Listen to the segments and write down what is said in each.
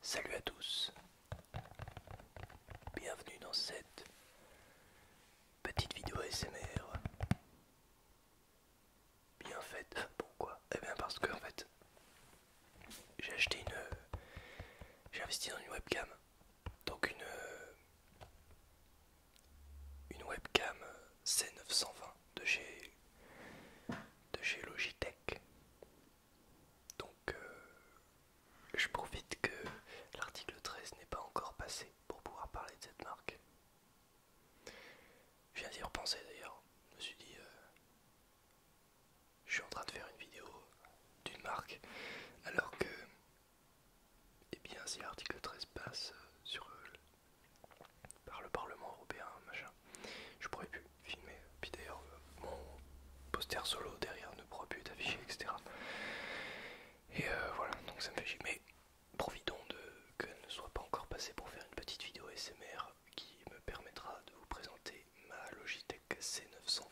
Salut à tous, bienvenue dans cette petite vidéo SMR bien faite. Pourquoi Eh bien parce que en fait j'ai acheté une, j'ai investi dans une webcam, donc une une webcam C920 de chez, de chez Logitech. Donc euh, je profite que l'article 13 n'est pas encore passé pour pouvoir parler de cette marque. Je viens d'y repenser d'ailleurs. Je me suis dit, euh, je suis en train de faire une vidéo d'une marque alors que, eh bien, si l'article 13 passe euh, sur par le Parlement européen, machin. Je pourrais plus filmer. Puis d'ailleurs, euh, mon poster solo derrière ne pourra plus être affiché, etc. Et euh, voilà, donc ça me fait chier. Mais profitons de qu'elle ne soit pas encore passée pour faire une petite vidéo SMR qui me permettra de vous présenter ma Logitech C920.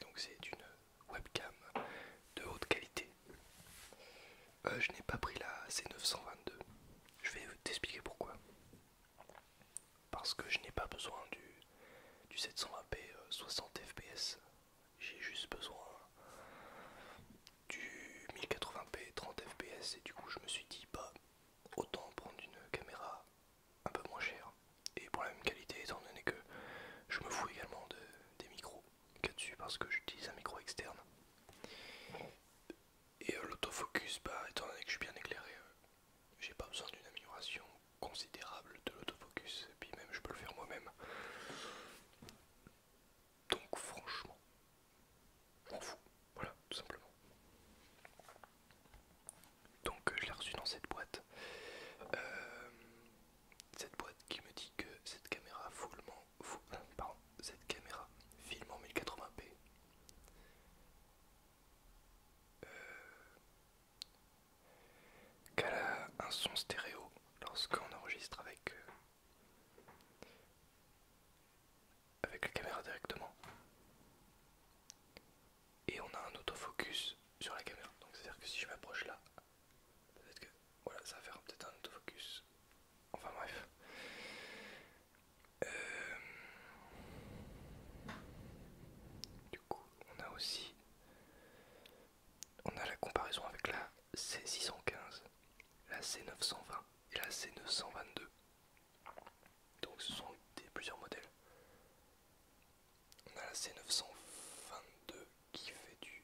Donc c'est une webcam de haute qualité. Euh, je n'ai pas pris la C922. Je vais t'expliquer pourquoi. Parce que je n'ai pas besoin du, 720p 60 fps. J'ai juste besoin du 1080p 30 fps et du coup je me suis dit bah autant prendre une caméra un peu moins chère et pour la même qualité étant donné que je me fous également des micros qu'à dessus parce que j'utilise un micro externe. Et euh, l'autofocus, bah, étant donné que je suis bien éclairé, euh, j'ai pas besoin d'une amélioration considérable de l'autofocus. Et puis même, je peux le faire moi-même. Donc franchement, je m'en fous. Voilà, tout simplement. Donc euh, je l'ai reçu dans cette boîte cette boîte qui me dit que cette caméra foulement, euh, cette caméra filme en 1080p. Euh, qu'elle a un son stéréo lorsqu'on enregistre avec euh, avec la caméra directement. Et on a un autofocus sur la caméra. Donc c'est-à-dire que si je m'approche là, Peut-être que. Voilà, ça va faire peut-être un autofocus. Enfin bref. Euh, du coup, on a aussi. On a la comparaison avec la C615, la C920 et la C922. Donc ce sont des, plusieurs modèles. On a la C922 qui fait du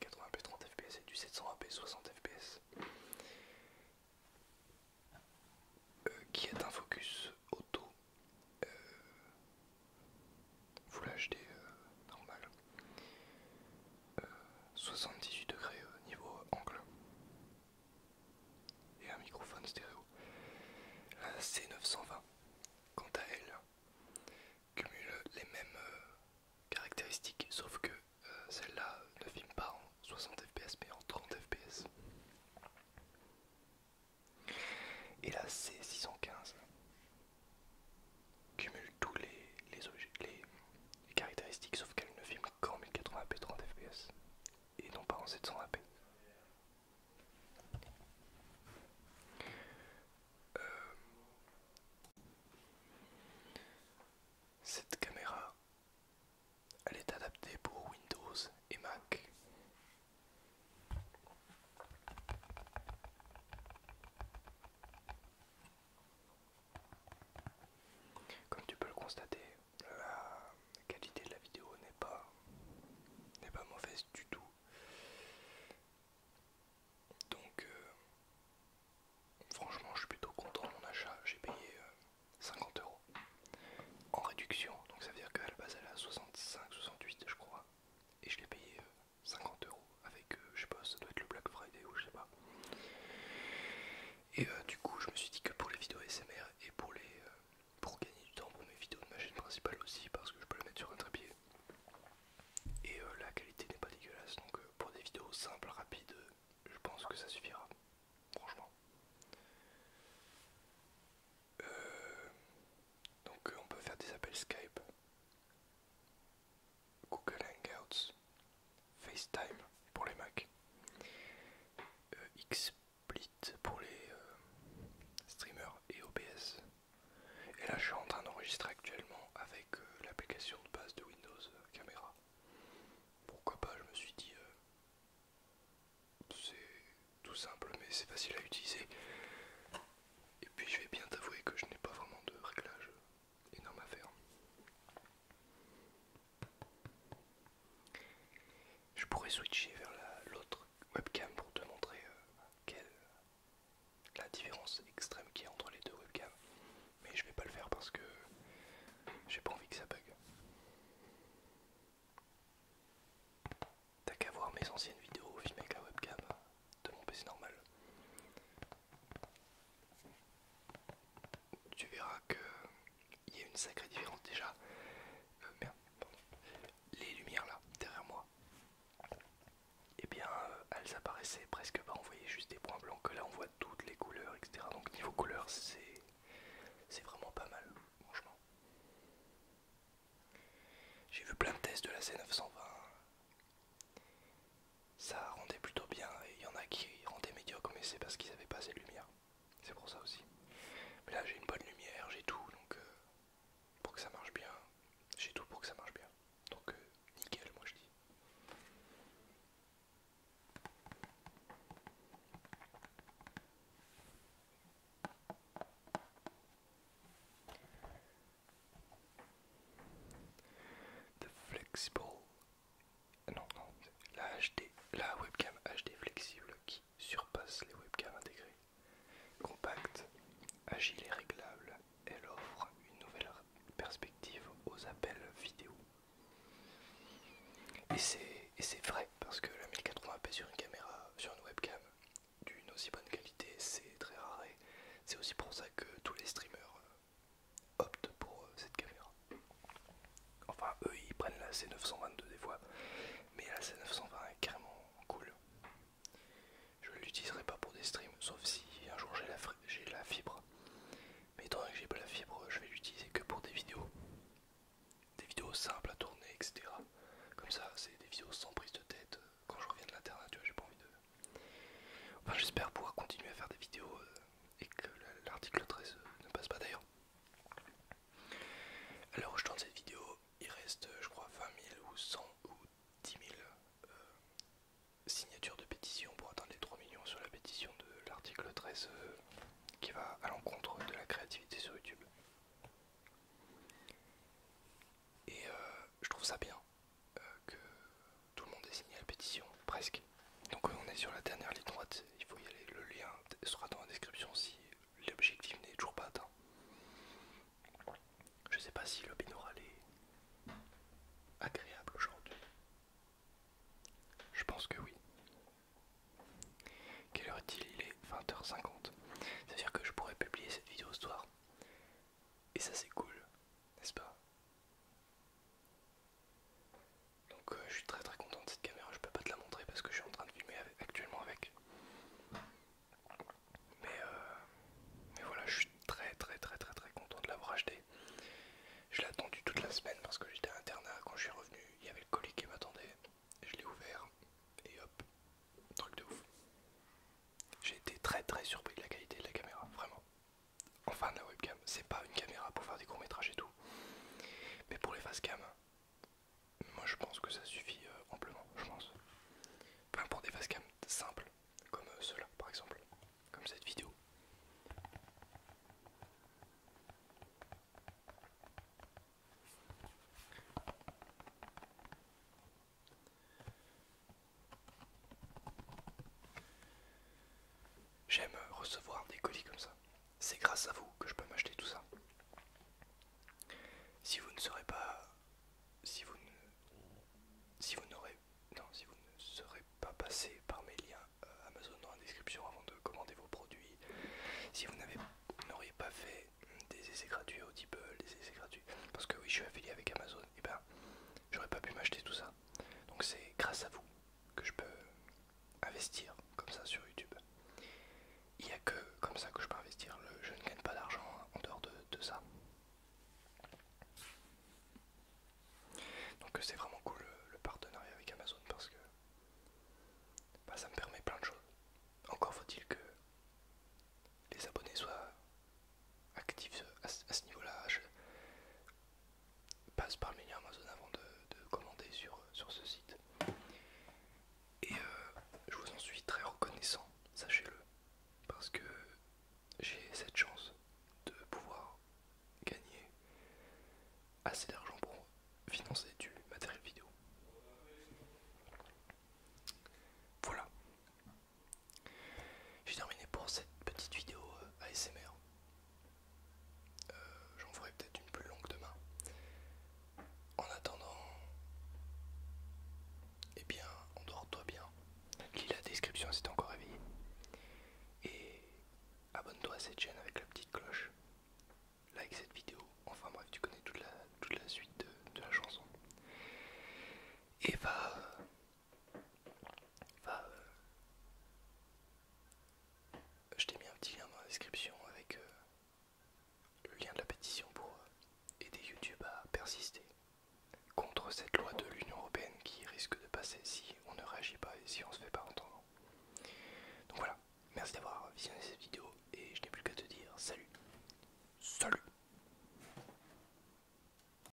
1080p 30 fps et du 720p 60 fps. qui est un focus auto. Euh, Full vous euh, normal. 78 euh, degrés niveau angle. Et un microphone stéréo. La C920, quant à elle, cumule les mêmes euh, caractéristiques, sauf que euh, celle-là ne filme pas en 60 fps mais en 30 fps. Et la C615 cumule tous les, les caractéristiques, sauf qu'elle ne filme qu'en 1080p 30 fps et non pas en 720p. Euh, cette caméra, elle est adaptée pour Windows et Mac. Comme tu peux le constater, la qualité de la vidéo n'est pas n'est pas mauvaise du tout. Donc euh, franchement je suis plutôt content de mon achat, j'ai payé 50€ euh, euros en réduction, donc ça veut dire qu'à la base elle est à 65, 68 je crois, et je l'ai payé 50€ euh, euros avec, je sais pas, ça doit être le Black Friday ou je sais pas. Et du coup je me suis dit que pour les vidéos SMR et pour les, pour gagner du temps pour mes vidéos de ma chaîne principale aussi parce que je peux le mettre sur un trépied et euh, la qualité n'est pas dégueulasse donc euh, pour des vidéos simples rapides euh, je pense que ça suffira franchement donc on peut faire des appels Skype Google Hangouts FaceTime pour les Mac XP pour les euh, streamers et OBS. Et là, je suis en train d'enregistrer actuellement avec euh, l'application de base de Windows euh, Caméra. Pourquoi pas, je me suis dit, c'est tout simple, mais c'est facile à utiliser. Et puis, je vais bien t'avouer que je n'ai pas vraiment de réglage énorme à faire. Je pourrais switcher vers l'autre webcam pour te montrer euh, quelle, la différence extrême qu'il y a entre les deux webcams. Mais je vais pas le faire parce que j'ai pas envie que ça bug. T'as qu'à voir mes anciennes vidéos filmées avec la webcam de mon PC normal. Tu verras que il y a une sacrée différence déjà. Euh, les lumières là, derrière moi, et eh bien euh, elles apparaissaient presque pas, on voyait juste des points blancs, que là on voit toutes les couleurs, etc. Donc niveau couleurs c'est vraiment pas mal, franchement. J'ai vu plein de tests de la C920. Ça rendait plutôt bien, il y en a qui rendaient médiocre, mais c'est parce qu'ils avaient pas assez de lumière c'est pour ça aussi. Mais là j'ai une bonne lumière, j'ai tout donc euh, pour que ça marche bien, j'ai tout pour que ça marche bien. Donc euh, nickel moi je dis. The flexible, non non, la HD, la webcam HD flexible qui surpasse les webcams intégrées. Compacte, agile et réglable, elle offre une nouvelle perspective aux appels vidéo. Et c'est vrai, parce que la 1080p sur une caméra, sur une webcam d'une aussi bonne qualité, c'est très rare. et C'est aussi pour ça que tous les streamers euh, optent pour euh, cette caméra. Enfin, eux ils prennent la C922 des fois, mais la C920 est carrément cool. Je ne l'utiliserai pas pour des streams, sauf si un jour j'ai la, fibre. Mais étant que j'ai pas la fibre, je vais l'utiliser que pour des vidéos. Des vidéos simples à tourner, etc. Comme ça, c'est des vidéos sans prise de tête. Quand je reviens de l'internet, tu vois, j'ai pas envie de. Enfin, j'espère pouvoir continuer à faire des vidéos euh, et que l'article 13 euh, ne passe pas d'ailleurs. Alors je tourne cette vidéo, il reste je crois 20 000 ou 100 ou 10 000 euh, signatures de pétition pour atteindre les 3 millions sur la pétition de l'article 13 euh, qui va à l'encontre de la créativité sur YouTube. Et euh, je trouve ça bien que tout le monde ait signé la pétition, presque. Donc euh, on est sur la dernière ligne droite, il faut y aller, le lien sera dans la description si l'objectif n'est toujours pas atteint. Je sais pas si le binaural est agréable aujourd'hui. Je pense que oui. Quelle heure est-il Il est 20h50. C'est-à-dire que je pourrais publier cette vidéo ce soir. Et ça c'est cool, n'est-ce pas donc euh, je suis très très content de cette caméra, je peux pas te la montrer parce que je suis en train de filmer actuellement avec. Mais, euh, mais voilà, je suis très très très très très content de l'avoir acheté. Je l'ai attendu toute la semaine parce que j'étais à internat, quand je suis revenu, il y avait le colis qui m'attendait. Je l'ai ouvert et hop, truc de ouf. J'ai été très très surpris de la qualité de la caméra, vraiment. Enfin la webcam, c'est pas une caméra pour faire des courts métrages et tout. Mais pour les facecam, moi je pense que ça suffit euh, amplement, je pense. Enfin pour des facecam simples, comme euh, cela, par exemple, comme cette vidéo. J'aime recevoir des colis comme ça. C'est grâce à vous que je peux m'acheter tout ça. Si vous ne serez pas. Si vous ne. Si vous n'aurez. Non, si vous ne serez pas passé par mes liens euh, Amazon dans la description avant de commander vos produits, si vous n'auriez pas fait des essais gratuits Audible, des essais gratuits, parce que oui, je suis affilié avec Amazon, et eh ben j'aurais pas pu m'acheter tout ça. Donc c'est grâce à vous que je peux investir comme ça sur YouTube. Il n'y a que comme ça que je peux investir. Le, je ne gagne pas d'argent en dehors de, ça. Donc c'est vraiment cool le, partenariat avec Amazon parce que bah, ça me permet plein de choses. Encore faut-il que les abonnés soient actifs à ce niveau-là passe par l'Amazon Amazon avant de, commander sur, sur ce site. Et euh, je vous en suis très reconnaissant, sachez-le, parce que j'ai cette chance de pouvoir gagner assez d'argent pour financer du matériel vidéo. Voilà. J'ai terminé pour cette petite vidéo euh, ASMR. Euh, j'en ferai peut-être une plus longue demain. En attendant, eh bien, endors-toi bien. Lis la description si t'es encore réveillé. Et abonne-toi à cette chaîne avec la petite cloche. Like cette vidéo. Enfin bref, tu connais toute la, toute la suite de, la chanson. Et va... Bah, euh, je t'ai mis un petit lien dans la description avec euh, le lien de la pétition pour euh, aider YouTube à persister contre cette loi de l'Union Européenne qui risque de passer si on ne réagit pas et si on se fait pas entendre. Donc voilà, merci d'avoir visionné cette vidéo et je n'ai plus qu'à te dire salut. Salut